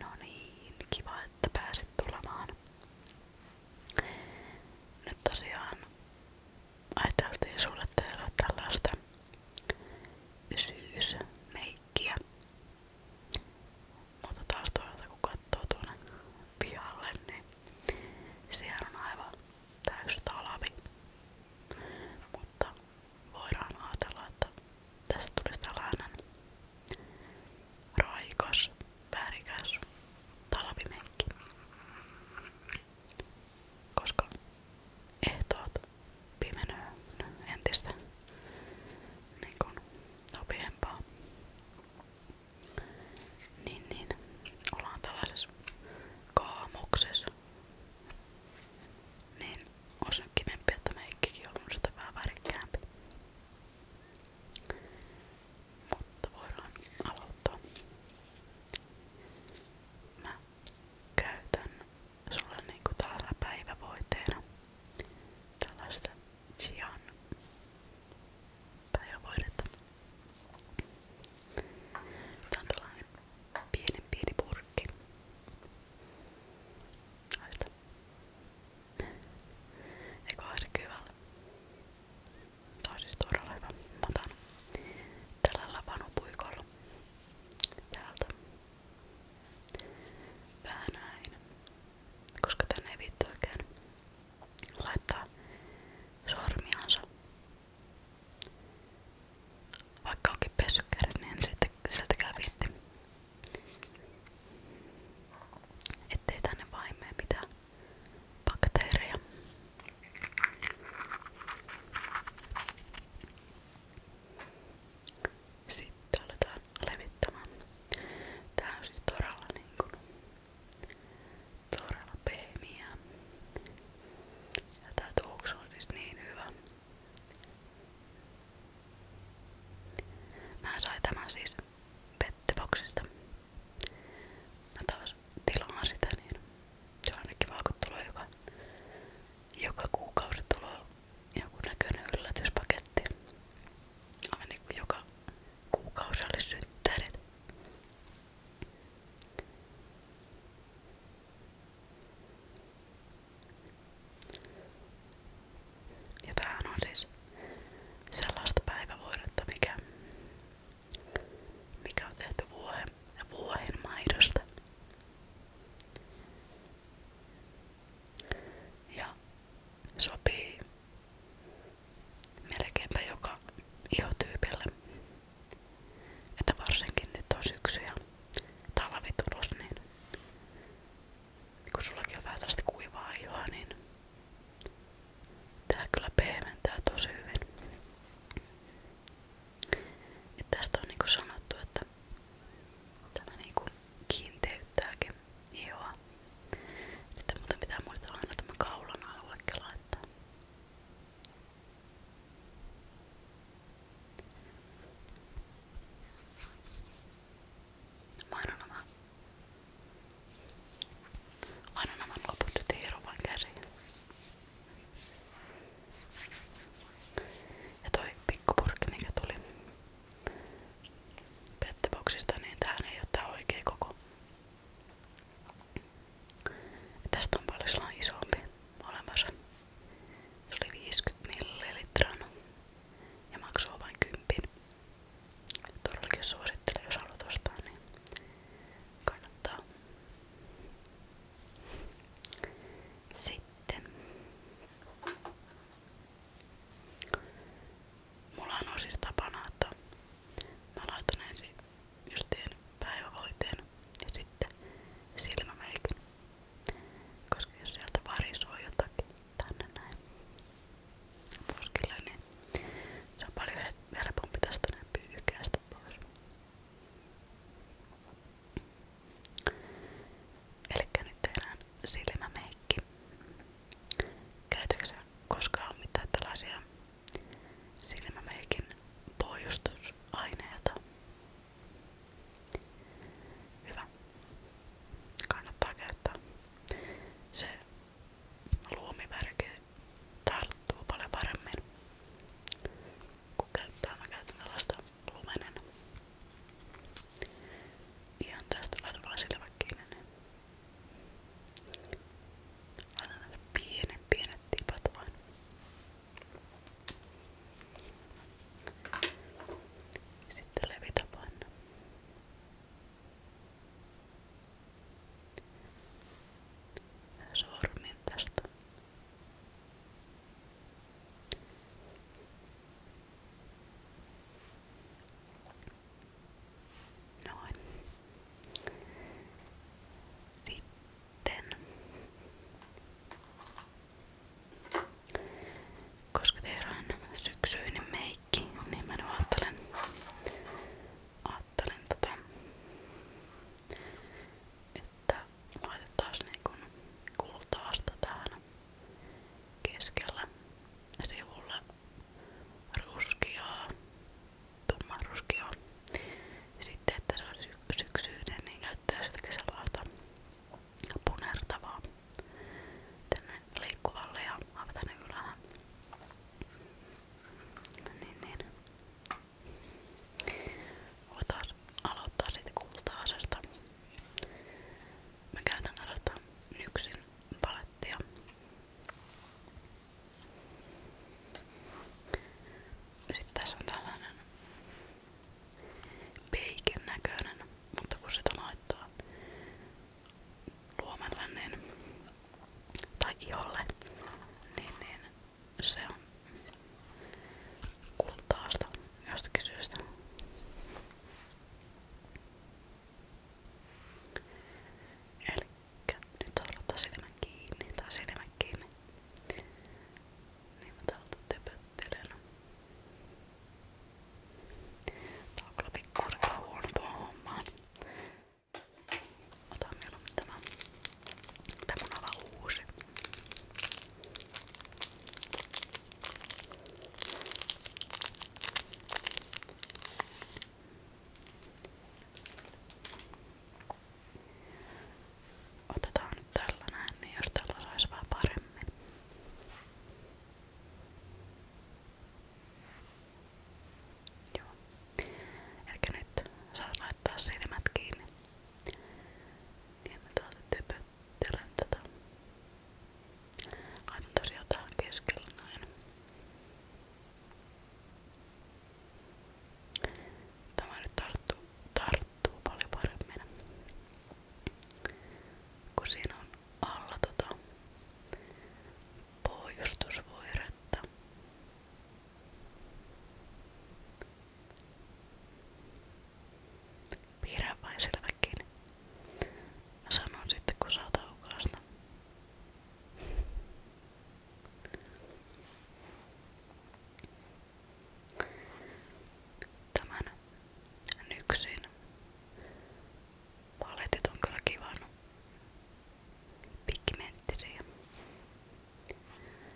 No niin, kiva, että pääsit tulemaan. Nyt tosiaan ajateltiin sulle tehdä tällaista syysmeikkiä. Mutta taas toisaalta kun katsoo tuonne pihalle, niin siellä on aivan täys talvi. Mutta voidaan ajatella, että tässä tulisi tällainen raikas, värikäs talvimekki. Koska ehtoot pimenöö entistä niin kuin nopeampaa. Niin, niin ollaan tällaisessa kaamuksessa niin on sen kivempi, että meikkikin on sitä vähän värikkäämpi. Mutta voidaan aloittaa. Mä käytän sulle niinku tällaisena päivävoiteena tällaista Chian päivävoidetta. Tää on tällainen pienen pieni purkki. Haista. Eikö haista kyvällä? Tää on siis todella hyvä. Mä otan tällä lapanupuikolla täältä vähän näin, koska tänne ei vittu oikein laittaa sormiansa vaikka onkin pessy niin en sitten sieltäkään viitti. Ettei tänne vaimee mitään bakteereja. Sitten aletaan levittämään. Tää on siis todella niinku todella pehmiä. Ja tää tuoksu on siis niin hyvä. Mä sain tämän siis pettiboksista. Mä taas tilaan sitä niin se on aina kiva kun tulee joka, joka kuukausi tulee joku näköinen yllätyspaketti. Aivan niin kuin joka kuukausi olisi synttärit. Ja tämähän on siis sellaista päivävuodetta, mikä, mikä on tehty vuohen, Ja sopii melkeinpä joka ihotyypille. Että varsinkin nyt on syksy talvet ulos, niin kun sullakin on vähän tällaista kuivaa ihoa, niin tää kyllä pehmentää tosi hyvin. Et tästä on niinku sanottu, että tämä niinku kiinteyttääkin ihoa. Sitten muuten pitää muistaa aina tämä kaulan aluekin laittaa. Morgonen. Har du någon man går bort till Roman kanske? Ja toi pikkupurkki mikä tuli Pettiboksista, niin tähän ei ole tää oikea koko. Tästä on paljon isompi olemassa. Se oli 50 millilitran no. ja maksoi vain 10. Todellakin suosittelen, jos haluat ostaa, niin kannattaa. Sitten. Mulla on siis tapana, että mä laitan ensin justiin päivävoiteen ja sitten silmämeikin. Koska jos sieltä varisoo jotakin tänne näin poskille, niin se on paljon helpompi tästä näin pyyhkäistä pois. Elikkä nyt tehdään silmämeikki. Käytätkö koskaan mitään tällaisia silmämeikin pohjustusaineita? Hyvä. Kannattaa käyttää. Se luomivärki tarttuu paljon paremmin, kun käyttää. Mä käytän tällaista lumenen. Ihan tästä laitan vaan silmät kiinni. Niin. Laitan pienet, pienet tipat vain. Sitten levitä panna. Sormin tästä. Noin. Koska teillä on syksyinen meikki, niin mä nyt ajattelen, ajattelen tota, että laitettaisiin niin kultaasta tähän keskellä sivulla ruskeaa, tumman ruskeaa sitten, että se on sy syksyinen, niin käyttää jotakin sellaista punertavaa tänne liikkuvalle ja aivan tänne ylään. Niin, niin. Voitaisiin aloittaa sitten kulta-asesta. Mä käytän tällaista nyksin palettia. Sitten tässä on tällainen peiken näköinen, mutta kun sitä laittaa luomelle niin, tai iholle, niin, niin se on kultaasta jostakin syystä. Elikkä nyt saa laittaa silmän kiinni tai silmän kiinni niin mä täältä töpöttelen. Tää on kyllä pikkuurkaa huono tuohon hommaan. Otan mieluummin tämä. Tää mun aivan uusi. Otetaan nyt tällä näin, niin jos tällä saisi vähän paremmin. Joo. Eli nyt saat laittaa silmät kiinni. Ja niin, mä täältä typöttelen tätä. Laitan tosiaan tähän keskellä näin. Tämä nyt tarttuu tarttuu paljon paremmin. Kun siinä on alla tota pohjustusvoiretta. Piirrä vain selväkin. Mä sanon sitten kun saa taukausta. Tämän nyksin paletit on kyllä kivan pigmenttisiä.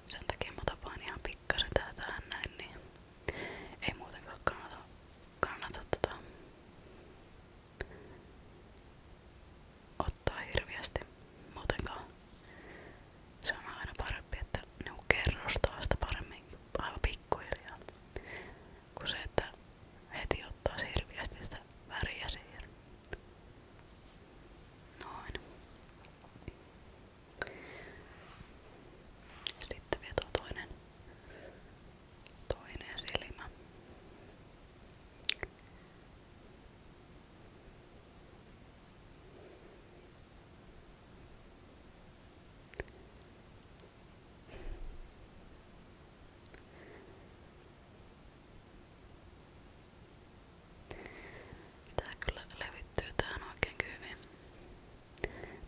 Sen takia mä otan vaan ihan pikkasen tää tähän näin, niin ei muutenkaan kannata, kannata tota ottaa hirveästi muutenkaan se on aina parempi, että ne on kerrostaa sitä paremmin aivan pikkuhiljaa. Kun se, että heti ottaa hirveästi sitä väriä siihen. Noin. Sitten vielä tuo toinen, toinen silmä. Tää kyllä levittyy tähän oikein hyvin.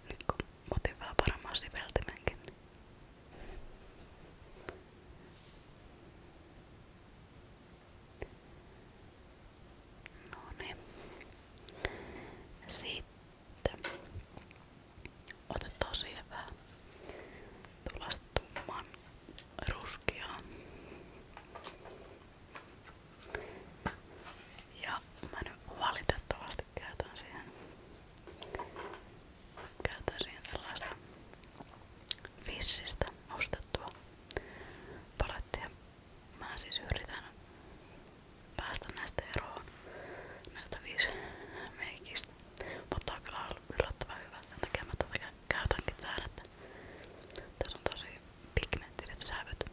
Nyt kun otin vähän paremman siveltimenkin. No niin. Sitten otetaan siihen vähän tuollaista tumman ruskeaa. Ja mä nyt valitettavasti käytän siihen, käytän siihen tällaista vissistä ostettua palettia. Mä siis yritän päästä näistä eroon näistä viisi meikistä. Mutta on kyllä ollut yllättävän hyvä, sen takia mä tätä käytänkin täällä, että tässä on tosi pigmenttiset sävyt.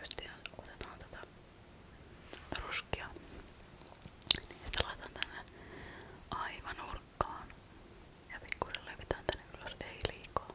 Justiin otetaan tätä ruskia, niin sitä laitan tänne aivan nurkkaan ja pikkuisen levitään tänne ylös, ei liikaa.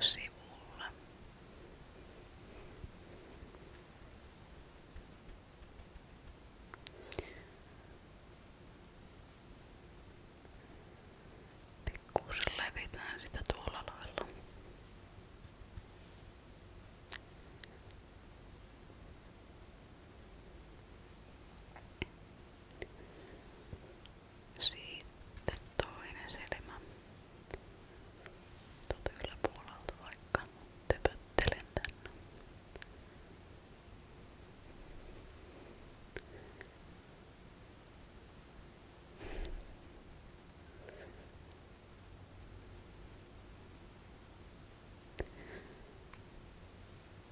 sivulla. Pikkuisen levitään sitä tuolla lailla. Sitten toinen silmä. Tuolta yläpuolelta vaikka töpöttelen tänne.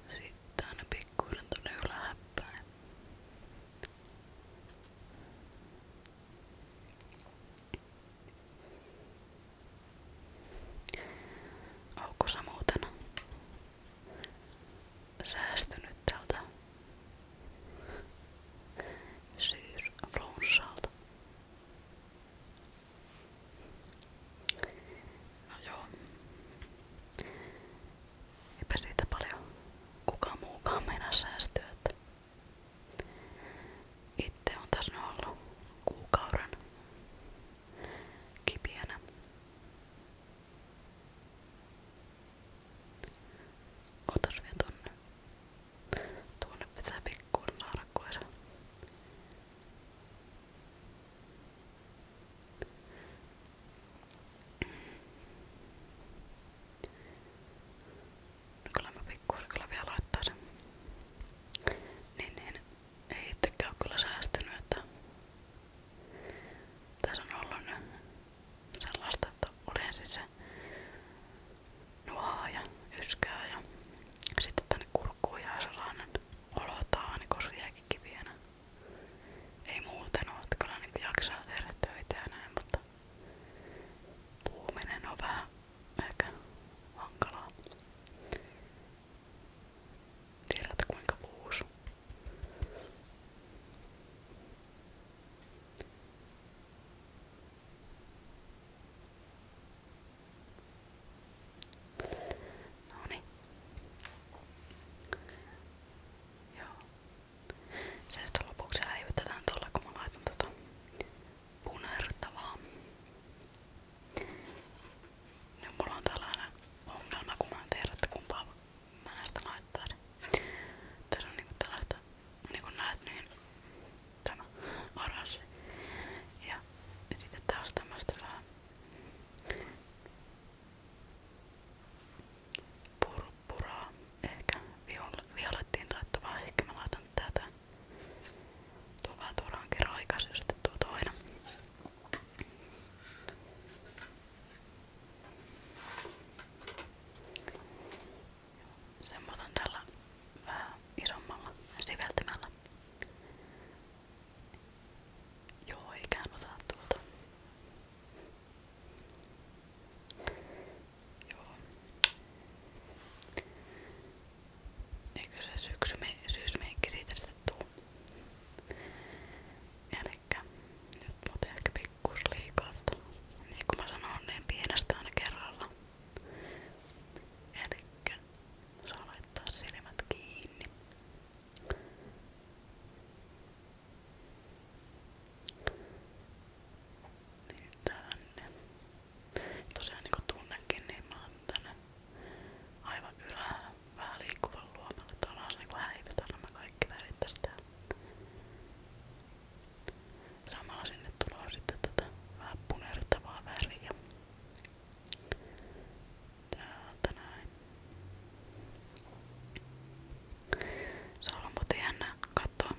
Sitten aina pikkuinen tuonne ylähäppään. Onko sä muuten säästynyt tältä syysflunssalta? No joo. Eipä siitä paljon kukaan muukaan meinaa säästyä. Että itse on tässä ollut kuukauden kipienä. Otas vielä tonne. Tuonne pitää pikkuun saada koira. No kyllä mä pikkuisen kyllä vielä laittaa sen. Niin, niin ei itsekään kyllä säästynyt, että tässä on ollut nyt sellaista, että oli ensin siis se nuhaa ja yskää ja sitten tänne kurkkuun jää sellainen olotaan, niin kun kivienä. Ei muuten oo, että kyllä niin jaksaa tehdä töitä ja näin, mutta puhuminen on vähän ehkä hankalaa. Tiedät kuinka puhus. No niin. Joo. Se sitten lopuksi häivytetään tuolla, kun mä laitan tota punertavaa. Nyt mulla on tällainen ongelma, kun mä en tiedä, että kumpaa mä näistä laittaisin. Tässä on niinku tällaista, niinku näet niin tämä oranssi. Ja sitten taas tämmöstä vähän purppuraa, ehkä viol- violettiin taittuvaa, ehkä mä laitan tätä. Tuo vähän turhankin raikas, jos tuo toinen. Sen otan tällä vähän isommalla siveltimällä. Joo, ikään otan tuota. Eikö se syksy me, syysmeikki siitä sitten tuu? Elikkä nyt muuten ehkä pikkus liikaa Niin kuin mä sanoin, niin pienestä aina kerralla. Elikkä saa laittaa silmät kiinni. Niin tänne. Tosiaan niinku tunnekin, niin mä oon tänne aivan ylää vähän liikkuvan luomalla. Tuolla on niinku häivytä nämä kaikki värit tästä. Samalla sinne tulee sitten tätä vähän punertavaa väriä. Täältä näin. Se on ollut muuten jännä katsoa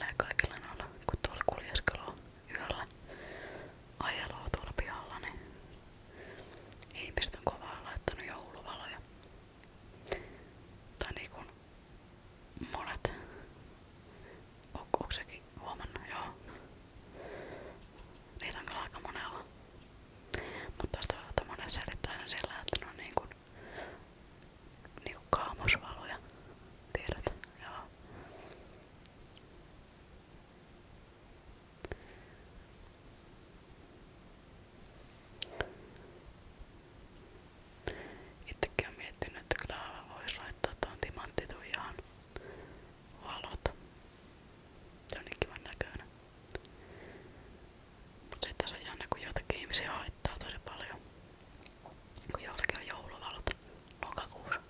ja kaikilla noilla, kun tuolla kuljeskelua yöllä ajelua tuolla pihalla, niin ihmiset kovaa laittanut jouluvaloja. Tai niin monet. O, onko sekin Niitä on kyllä monella. Mutta toisaalta monet selittää aina sillä, että ne on niin kuin niinku kaamosvaloja. Tiedät? Joo. Itsekin olen miettinyt, että kyllä voisi laittaa tuon timanttituijaan valot. Se on niin kivan näköinen. Mutta sitten se on jännä, kun joitakin ihmisiä haittaa tosi paljon. Kun jollakin on jouluvalot lokakuussa.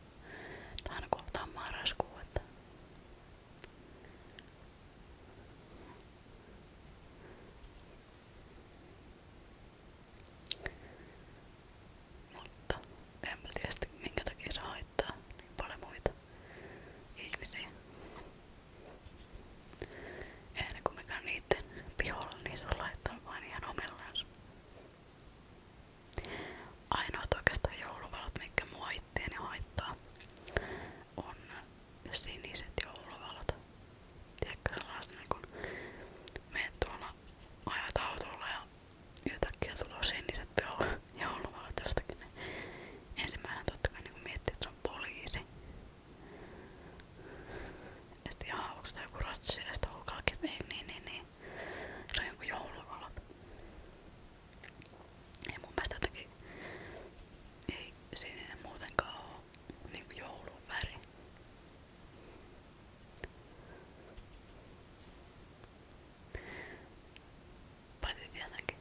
Tai aina kun ottaa marraskuu, että mutta en mä tiedä minkä takia se haittaa niin paljon muita ihmisiä. Ennen kuin mekään niitten piholla, niin se laittaa vain ihan omillansa. Ainoat oikeastaan jouluvalot, mitkä mua itteeni haittaa, on siniset jouluvalot. Tiedätkö sellaista niin kun meet tuolla ajat autolla ja yhtäkkiä tulee siniset jouluvalot jostakin. Ensimmäinen totta kai niin miettii, että se on poliisi. Että jaha, onks tää joku ratsi ja sitten niin, ei niin, niin. Se on joku jouluvalot. Ei mun mielestä jotenkin, ei sininen muutenkaan oo niinku joulun väri. Paitsi tietenkin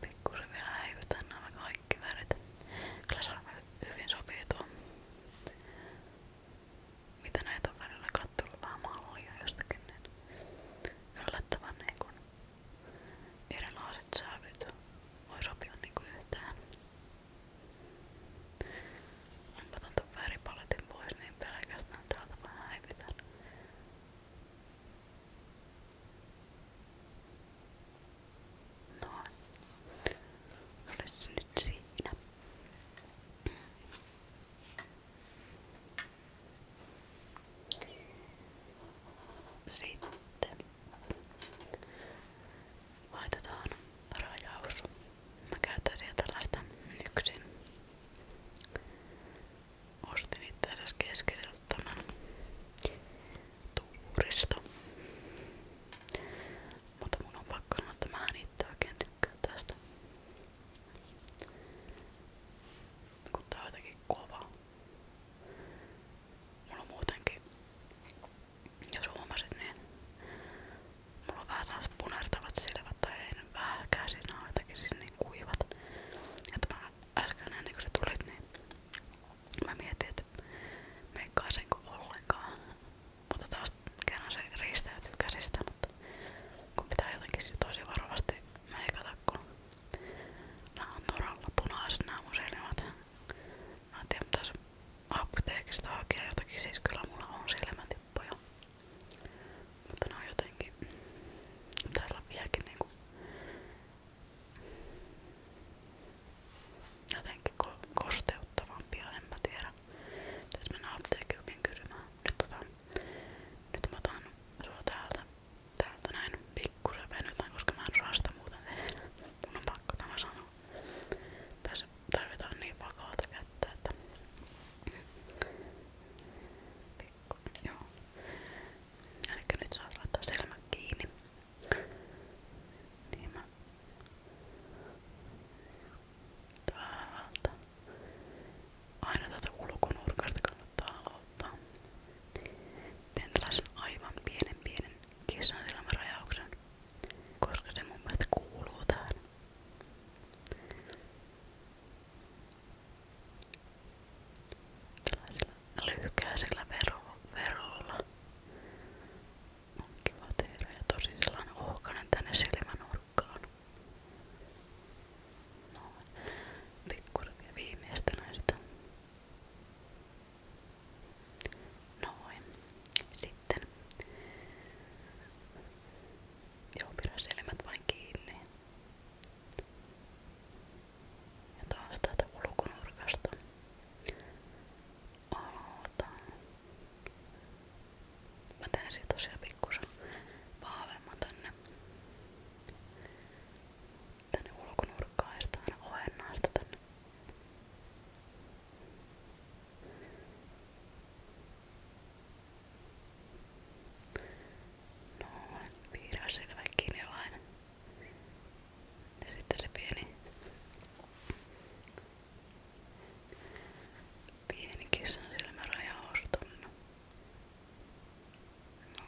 Pikkusen vielä häivytään nämä kaikki värit. Kyllä se on hyvin sopii tuo. Mitä näitä on välillä kattonut vähän mallia jostakin, niin yllättävän niin kun erilaiset sävyt voi sopia niin kuin yhteen. Mä otan ton väripaletin pois, niin pelkästään täältä vähän häivytän. Noin. Olet se nyt siinä. Sitten laitetaan rajaus. Mä käytän siellä tällaista yksin ostin itse asiassa keskeiseltä tämän tuurista. Mutta mun on pakko sanoa, että mä en itse oikein tykkää tästä. Kun tää on jotenkin kova. Mulla on muutenkin, jos huomasit, niin mulla on vähän taas punertavat silmät tai ei nyt vähän käsinä on jotenkin siis niin kuivat. Että mä äsken ennen kuin se tulit, niin Mä mietin, että meikkaa sen kuin ollenkaan. Mutta taas kerran se riistäytyy käsistä, mutta kun pitää jotenkin tosi varovasti meikata, kun nää on toralla punaiset nää mun silmät. Mä en tiedä, pitäis apteekista hakea jotakin, siis kyllä mulla on silmätippoja. Mutta ne on jotenkin, täällä vieläkin niinku Jotenkin ko kosteuttavampia, en mä tiedä. Tässä mennään apteekkiukin kysymään. Nyt, tota, nyt mä otan sua täältä, täältä näin pikkusen venytään, koska mä en saa sitä muuten tehdä. Mun on pakko tämä sanoa. Tässä tarvitaan niin vakaata kättä, että... Pikku, joo. Elikkä nyt saat laittaa silmät kiinni. Niin mä täältä. Aina tätä ulkonurkasta kannattaa aloittaa. Teen tällaisen aivan pienen pienen kissan silmärajauksen, koska se mun mielestä kuuluu tähän tällaisella lyhykäisellä vero, verolla. On kiva tehdä ja tosi sellainen ohkainen tänne silmänurkkaan. No, pikkuisen vielä viimeistelen sitä. Noin. Sitten. Joo, pidä silmät vain kiinni. Ja taas täältä ulkonurkasta aloitan. Mä teen siitä tosiaan pikkusen vahvemman tänne. Tänne ulkonurkkaan ja sitten aina ohennaan sitä tänne. Noin, piirrä selvä kinilainen. Niin ja sitten se pieni, pieni kissan silmäraja olisi tuonne. No.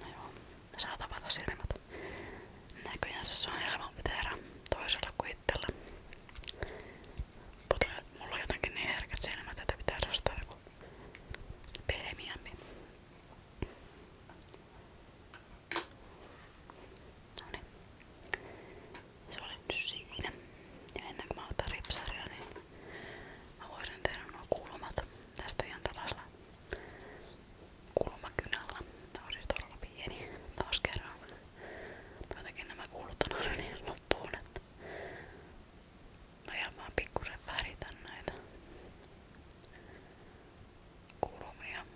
no joo, no saa tapata silmät. Näköjään se on helpompi tehdä toisella kuin itsellä. Mutta mulla on jotenkin niin herkät silmät, että pitää ostaa joku perhemiämme. No niin. Se oli nyt siinä. Ja ennen kuin mä otan ripsaria, niin mä voisin tehdä nuo kulmat tästä ihan tällaisella kulmakynällä. Tää on siis todella pieni taas kerran. Jotenkin nämä kulut on aina niin loppuun, että No mä vaan pikkusen väritän näitä kulmia.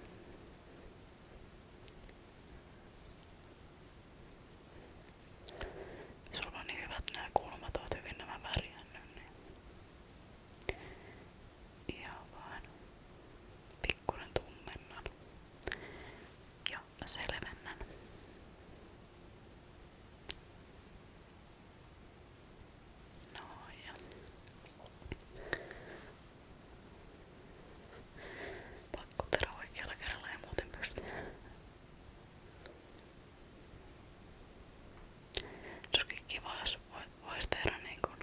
Sulla on niin hyvät nämä kulmat, oot hyvin nämä värjännyt. Niin. Ihan vaan pikkuinen tummennan. Ja ja selvennän. Noin. Ja. Pakkutero oikealla kerralla ja muuten pysty. Se olisikin kiva, jos voisi tehdä niin kuin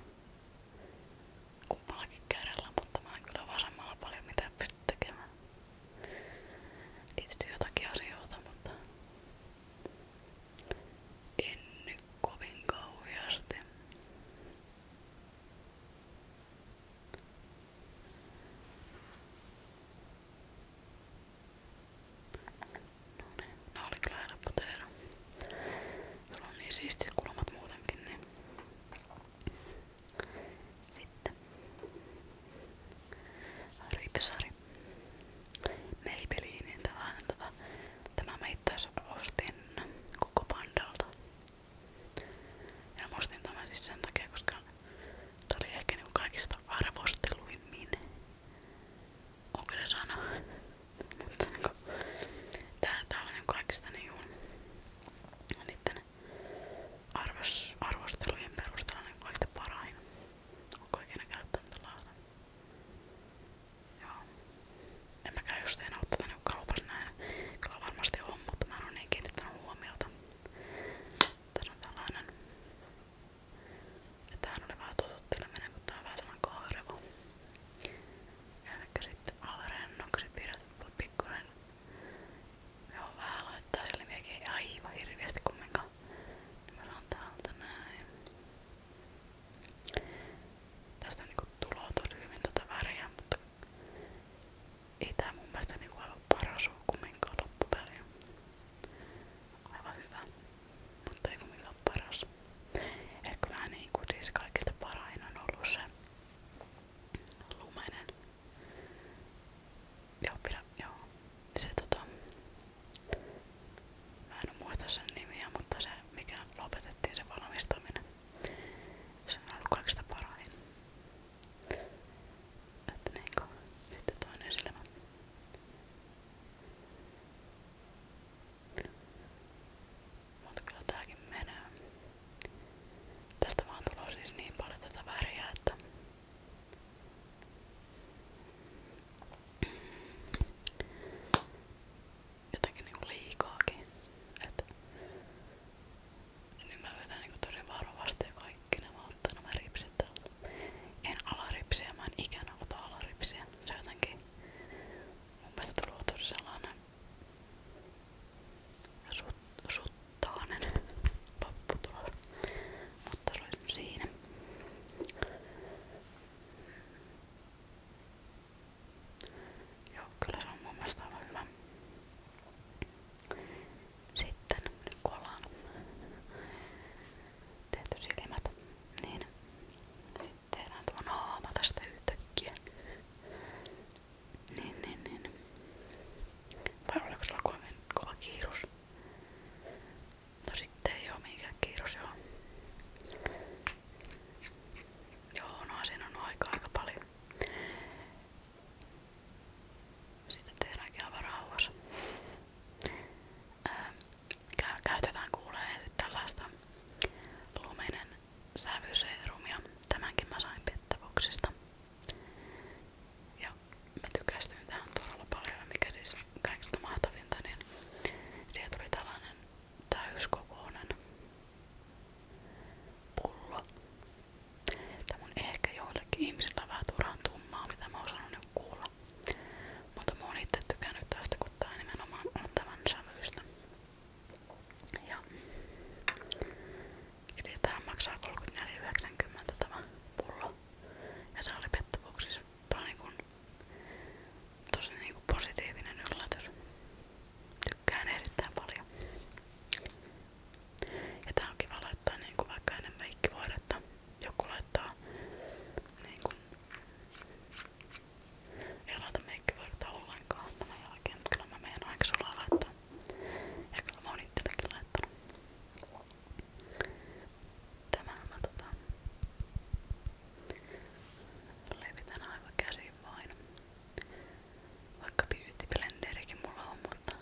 kummallakin kädellä, mutta mä en kyllä vasemmalla paljon mitä pysty tekemään. Tietysti jotakin asioita, mutta en nyt kovin kauheasti. No ne, niin, ne oli kyllä helppo tehdä. Sulla on niin siistit kulmat muutenkin, niin sitten ripsari. Maybellinin niin tällainen tota. Tämä mä itse ostin koko pandalta. Ja mä ostin tämän siis sen takia, koska tää oli ehkä niinku kaikista arvosteluimmin. Onko se sana? Mutta niinku, tää, tää oli niinku kaikista niinku niitten arvos, arvostelujen perusteella niin kaikista parain. Onko ikinä käyttänyt tällaista? Joo. En mäkään just enää oo tätä niinku kaupassa näin. Kyllä varmasti on, mutta mä en oo niin kiinnittänyt huomiota. Tässä on tällainen. Ja tämähän oli vähän tututteleminen, kun tää on vähän tällainen kaarevo. Elikkä sitten alle rennoksi pidät pikkuinen Joo, vähän laittaa silmiäkin ei aivan hirveästi kumminkaan. Niin mä saan täältä näin. Tästä niinku tuloa tosi hyvin tätä väriä, mutta ei tää mun mielestä niinku aivan paras oo kumminkaan loppupeliä. Aivan hyvä, mutta ei kumminkaan paras. Et kyllähän niinku siis kaikista parain on ollut se lumeinen Joo, pidä, joo. Se tota... Mä en muista sen nimiä, mutta se mikä lopetettiin se valmistaminen. Se on ollut kaikista parahin. Että niinku, sitten toinen silmä. Mutta kyllä tääkin menee. Tästä vaan tulee siis niin paljon tätä väriä, että Jotenkin niinku liikaakin. Et nyt mä yritän niinku tosi varovasti ja kaikki nämä ottaa nämä ripsit täältä. En alaripsiä, mä en ikinä ota alaripsiä. Se on jotenkin mun mielestä tullut tosi sellainen suht suttaanen lopputulos. Mutta se oli siinä. Joo, kyllä se on mun mielestä aivan hyvä. Sitten nyt kun ollaan tehty silmät, niin sitten tehdään tuo naama tästä yhtäkkiä. Niin, niin, niin. Vai oliko sulla kova, kova kiirus? No sitten ei oo minkään kiirus joo. Joo, no siinä on aika aika paljon. Sitä tehdäänkin aivan rauhassa. Ää, ähm, käytetään kuulee sitten tällaista luminen sävyseerumia. Tämänkin mä sain pettävoksista. Ja mä tykästyin tähän todella paljon, mikä siis kaikista mahtavinta, niin siihen tuli tällainen täyskokoinen pullo. Tämä on ehkä joillekin ihmisillä vähän turhan tummaa, mitä mä oon osannut kuulla. Mutta mä oon itse tykännyt tästä, kun tää nimenomaan on tämän sävyystä. Ja Eli tää maksaa 34,90 tämä pullo. Ja se oli pettävuuksissa. Tää on niinku, tosi niinku positiivinen yllätys. Tykkään erittäin paljon. Ja tää on kiva laittaa niinku vaikka ennen meikkivuodetta. Joku laittaa niinku ei laita meikkivuodetta ollenkaan tämän jälkeen, mutta kyllä mä menen aika sulla laittaa. Ja kyllä mä oon itsellekin laittanut. Tämän mä tota, levitän aivan käsin vain. Vaikka beautyblenderikin mulla on, mutta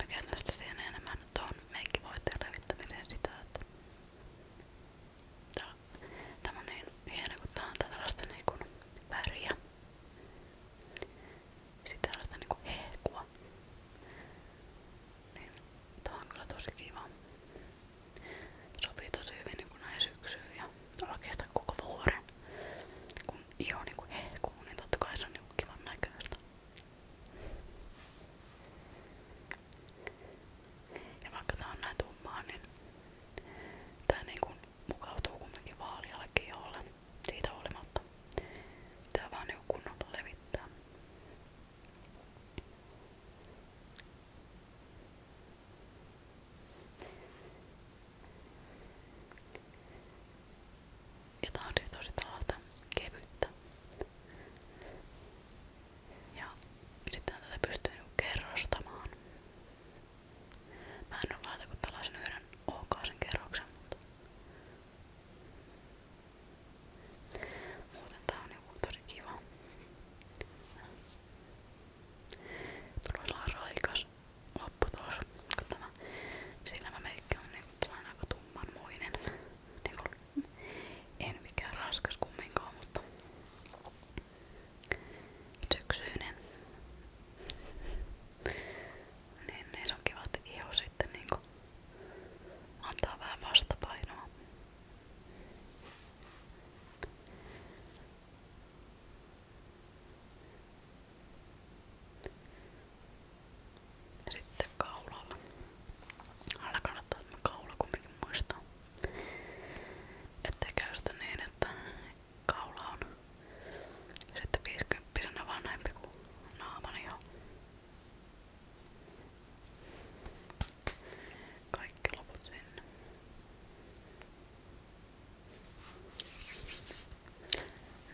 mä käytän sitä siihen enemmän tuon meikkivoiteen levittämiseen sitä, että tää, tää on niin hieno, kun tää on tällaista niinku väriä. Sitä tällaista niinku hehkua. Niin, tää on kyllä tosi kiva. Sopii tosi hyvin niinku näin syksyyn ja oikeastaan koko vuoden. Kun iho niinku hehkuu, niin totta kai se on niinku kivan näköistä. Ja vaikka tää on näin tummaa, niin tää niinku mukautuu kumminkin vaalialle iholle siitä huolimatta. Tää vaan niinku kunnolla levittää. Ja tää on siis tosi tällaista kevyttä. Ja sitten tätä pystyy niinku kerrostamaan. Mä en oo laita kun tällaisen yhden ohkaisen kerroksen, mutta Muuten tää on joku niinku tosi kiva. Tulee sellainen raikas lopputulos, kun tämä silmämeikki on niinku sellainen aika tummanmoinen. Niinku, en mikään raskas kumminkaan, mutta syksyinen niin niissä on kivat iho sitten niinku antaa vähän vastapainoa. Sitten kaulalla. Aina kannattaa tämä kaula kumminkin muistaa. Ettei käy sitä niin, että kaula on sitten 50 vanhempi kuin naamani on. Kaikki loput sinne.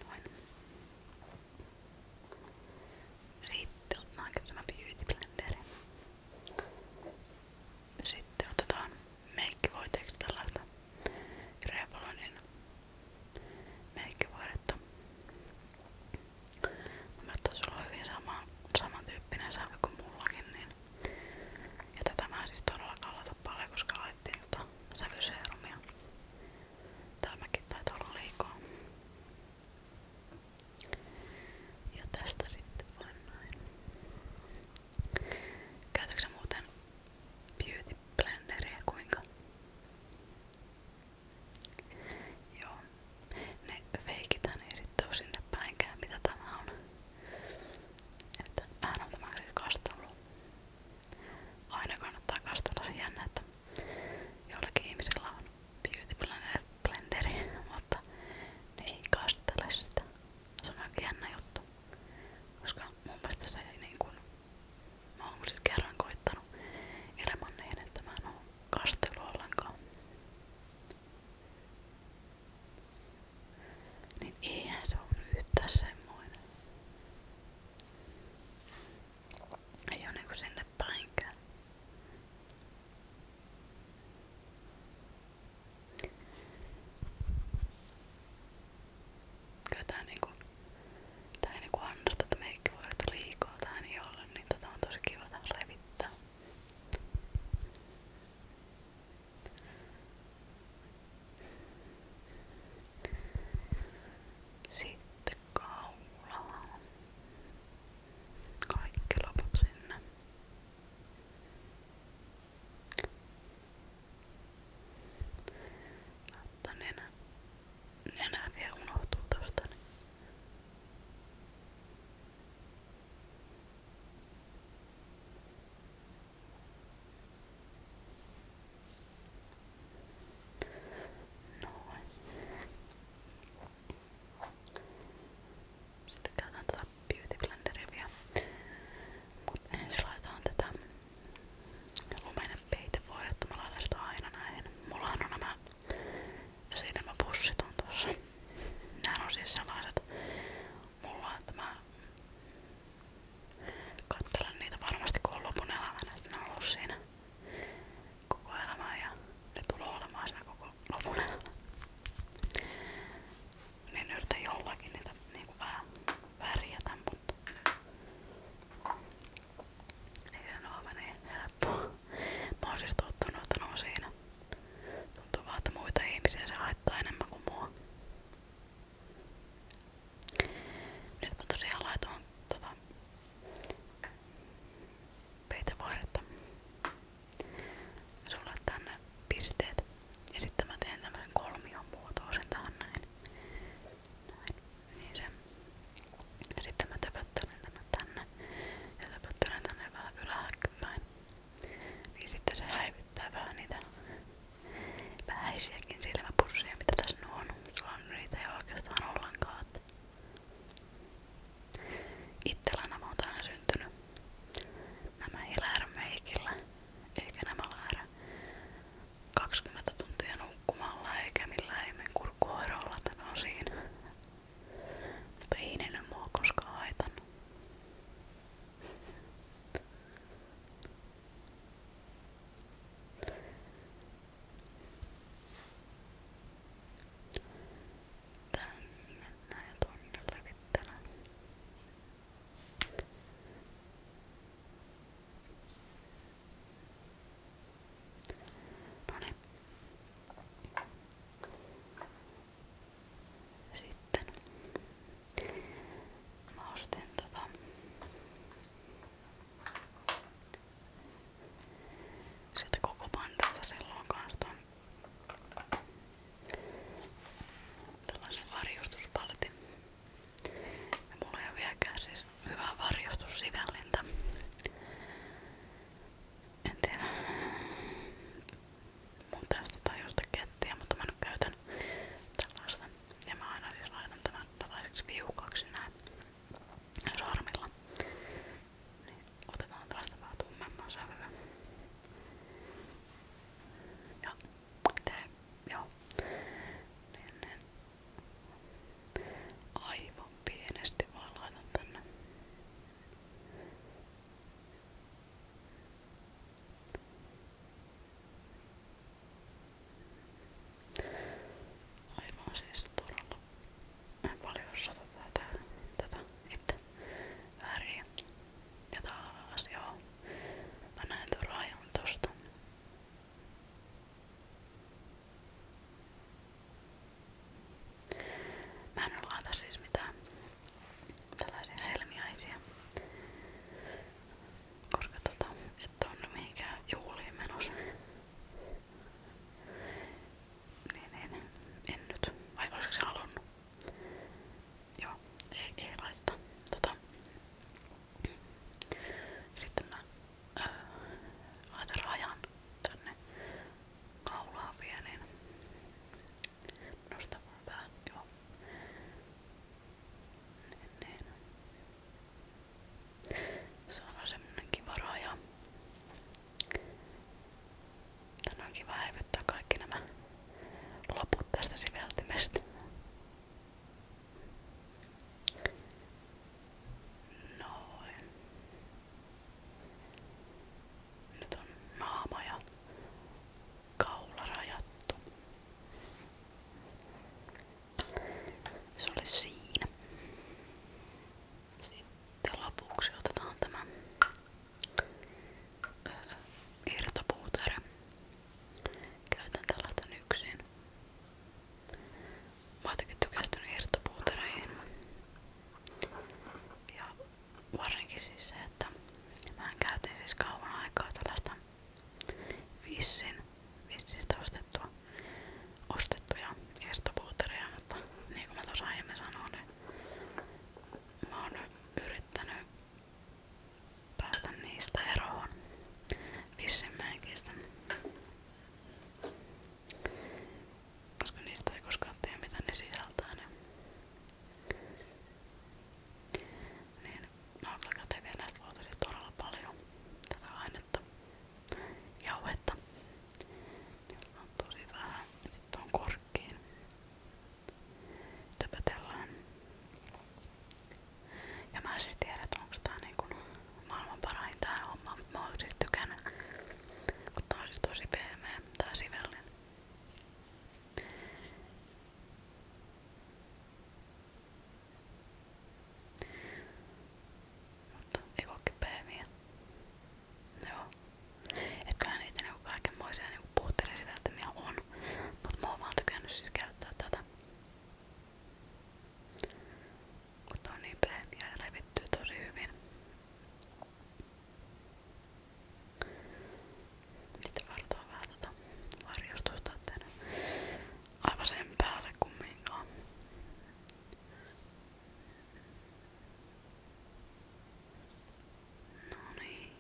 Noin. Sitten otetaankin tämä Beauty Blenderi. Sitten otetaan meikkivoiteeksi tällaista Revlonin meikkivaadetta. Mä sulla on hyvin sama, samantyyppinen sävy kuin mullakin. Niin. Ja tätä mä en siis todella kallata paljon, koska laitettiin tota sävyseerumia. Tämäkin taitaa olla liikaa. Ja tästä sitten vaan näin. Käytätkö muuten beauty blenderia kuinka. Joo. Ne feikitään ei sit oo sinne päinkään mitä tämä on. Että vähän on tämä siis kastellut. Aina kannattaa kastella se jännä, että jollakin ihmisillä on beauty blender, blenderi, mutta ne ei kastele sitä. Se on aika jännä juttu. Koska mun mielestä se ei niin kuin Mä oon siis kerran koittanut ilman niin, että mä en oo kastelu ollenkaan. Niin eihän se on yhtä semmoinen. Ei oo niinku sinne päinkään. Kyllä tää niinku, tää ei niinku annosta, että meikki voi olla liikaa tähän ei ole, niin tätä tota on tosi kiva levittää. Sitten kaulaan. Kaikki loput sinne. Mutta nenä, nenä vielä unohtuu tosta. Niin. Noin. Sitten käytän tätä Beauty Blenderia vielä. Mut ensin laitaan tätä lumeinen peitevuori, että mä laitan sitä aina näihin. Mullahan on nämä silmäpussit on tossa. Nämä on siis sellaiset mulla, että mä kattelen niitä varmasti kun on lopun elämänä, että ne on ollut siinä koko elämää ja ne tulee olemaan siinä koko lopun elämän. Niin yritän jollakin niitä niinku vähän värjätä, mutta ei sen ole niin helppoa. Mä oon siis tottunut, että no siinä. Tuntuu vaan, että muita ihmisiä se haittaa enemmän kuin mua. Nyt mä tosiaan laitoin tota peitevaaretta. Ja sulle tänne pisteet. Ja sitten mä teen tämmösen kolmion muotoisen tähän näin. Noin. Niin se. Ja sitten mä töpöttelen tämän tänne ja töpöttelen tänne vähän ylhääkköpäin. Niin sitten se häivyttää vähän niitä vähäisiäkin silmäpusseja, mitä tässä on. Sulla on niitä ei oikeastaan ollenkaan. Itsellä nämä on tähän syntynyt. Nämä ei lähdä meikillä, eikä nämä lähdä 20 tuntia nukkumalla eikä millään ihmeen kurkkuhoidolla tän osin. Mutta ei ne nyt mua koskaan haitannut. Tänne näin ja tonne levittelen. No niin. Sitten mä ostin tota sieltä koko pandalta silloin kans ton tällaisen varjostuspaletin. Ja mulla ei ole vieläkään siis hyvää varjostussivälintä. En tiedä. Mun täytyy jotain josta kettiä, mutta mä nyt käytän tällaista. Ja mä aina siis laitan tämän tällaiseksi viukaksi näin sormilla. Niin otetaan tällaista vähän tummemman sävyä. Ja Tää, joo. Menen aivan pienesti vaan laitan tänne. Aivan siis todella paljon sota tätä, tätä että väriä ja taas joo. Mä näen tuon rajan tosta. Mä en laita siis mitään tällaisia helmiäisiä, koska tota, et on mihinkään juhliin menossa. Niin, niin, en nyt. Vai olisiko se halunnut? Joo, ei, ei laittaa. Tota, sitten mä öö, laitan rajan tänne kaulaan vielä, niin nostan mun pään, joo. Niin, niin. Se on semmonen kiva raja. Tänne on kiva häivyttää kaikki nämä loput tästä siveltimestä. Noin. Nyt on naama ja kaula rajattu. Se oli siinä. Sitten lopuksi otetaan tämä irtopuutere Käytän tällaista yksin. Mä oon tykästynyt irtopuutereihin. Ja varsinkin siis se, että mä käytin siis kauan aikaa tällaista vissin, vissistä ostettua, ostettuja irtopuutereja, mutta niin kuin mä tuossa aiemmin sanoin, niin mä oon yrittänyt päästä niistä eroon. Vissin mä en kestä. Koska niistä ei koskaan tiedä mitä ne sisältää ne. Niin-, niin, mä oon kyllä käteviä näistä luotu siis todella paljon tätä ainetta, jauhetta. Niillä on tosi vähän. Sitten on korkkiin. Töpötellään. Ja mä en siis tiedä, että onko tää niinku maailman parain tää homma, mä oon siis kun tää on siis tosi pehmeä tää sivellin. Mutta ei kookki pehmiä. Joo. Etköhän niitä niinku kaikenmoisia niinku puutteellisia sisältömiä on. Mut mä oon vaan siis käyttää tätä päällä. Mutta on niin pehmiä niin ja revittyy tosi hyvin. Niitä vartoa vähän tota varjostusta, että aivan sen päälle kumminkaan. No niin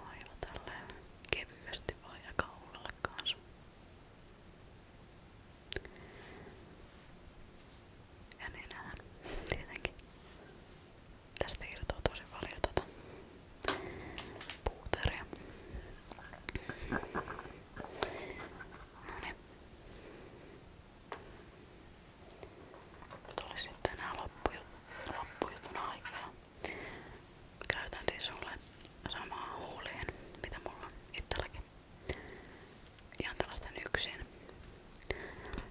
aivan tälleen kevyesti vaan ja kaulalle kanssa. Ja nenään tietenkin. Tästä irtoaa tosi paljon tätä tota puuteria. No niin. Nyt olisi sitten enää loppujutun aikaa. Käytän siis sulle samaa huuleen, mitä mulla on itselläkin. Ihan tällaisten yksin.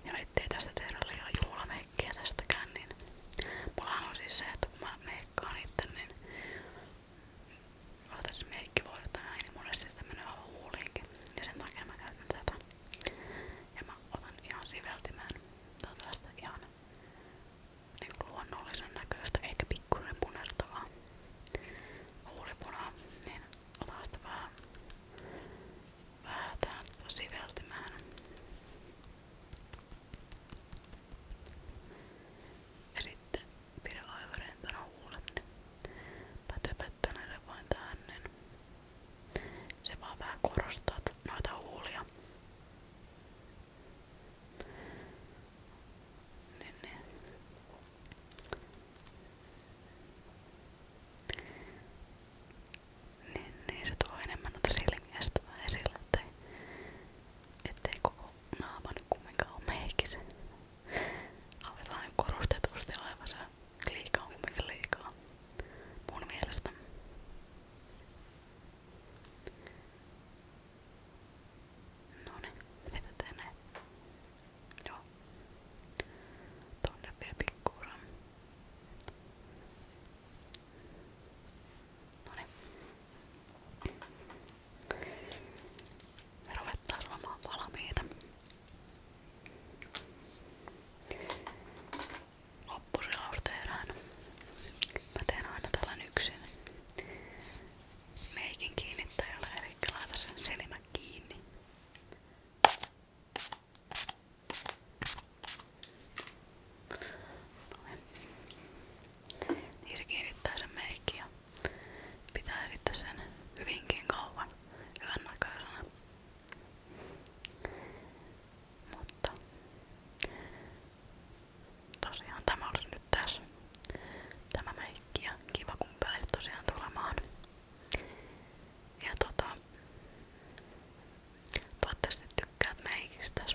Ja ettei tästä tehdä liian juhlamekkiä tästäkään, niin mullahan on siis se, että kun mä meikkaan itse, niin otan siis meikkivuodet näin, niin monesti sitä menee aivan huuliinkin. Ja sen takia mä käytän tätä. Ja mä otan ihan siveltimään. Tää on tällaista ihan niin luonnollisen näköistä, ehkä pikkuinen punertavaa huulipunaa, niin otan sitä vähän vähän tähän siveltimään. Ja sitten pidän aivan rentona huulet, niin pätöpättänä vain tähän, niin se vaan vähän korostaa noita huulia. Niin, niin. Niin, niin se tuo enemmän noita silmiä esille, ettei, ettei koko naama nyt kumminkaan ole meikis. Aivan korostetusti aivan se liikaa on kumminkin liikaa mun mielestä. No niin, jätetään ne. Joo. Tuonne vielä pikkuuran. No niin. Me ruvetaan olemaan valmiita loppuselaus tehdään. Mä teen aina tällän yksin meikin kiinnittäjällä, eli laita sen silmä kiinni. Noin. Niin se kiinnittää sen meikki ja pitää sitten sen hyvinkin kauan hyvän näköisenä. Mutta tosiaan tämä olisi nyt tässä tämä meikki ja kiva kun pääsit tosiaan tulemaan. Ja tota, toivottavasti tykkäät meikistä.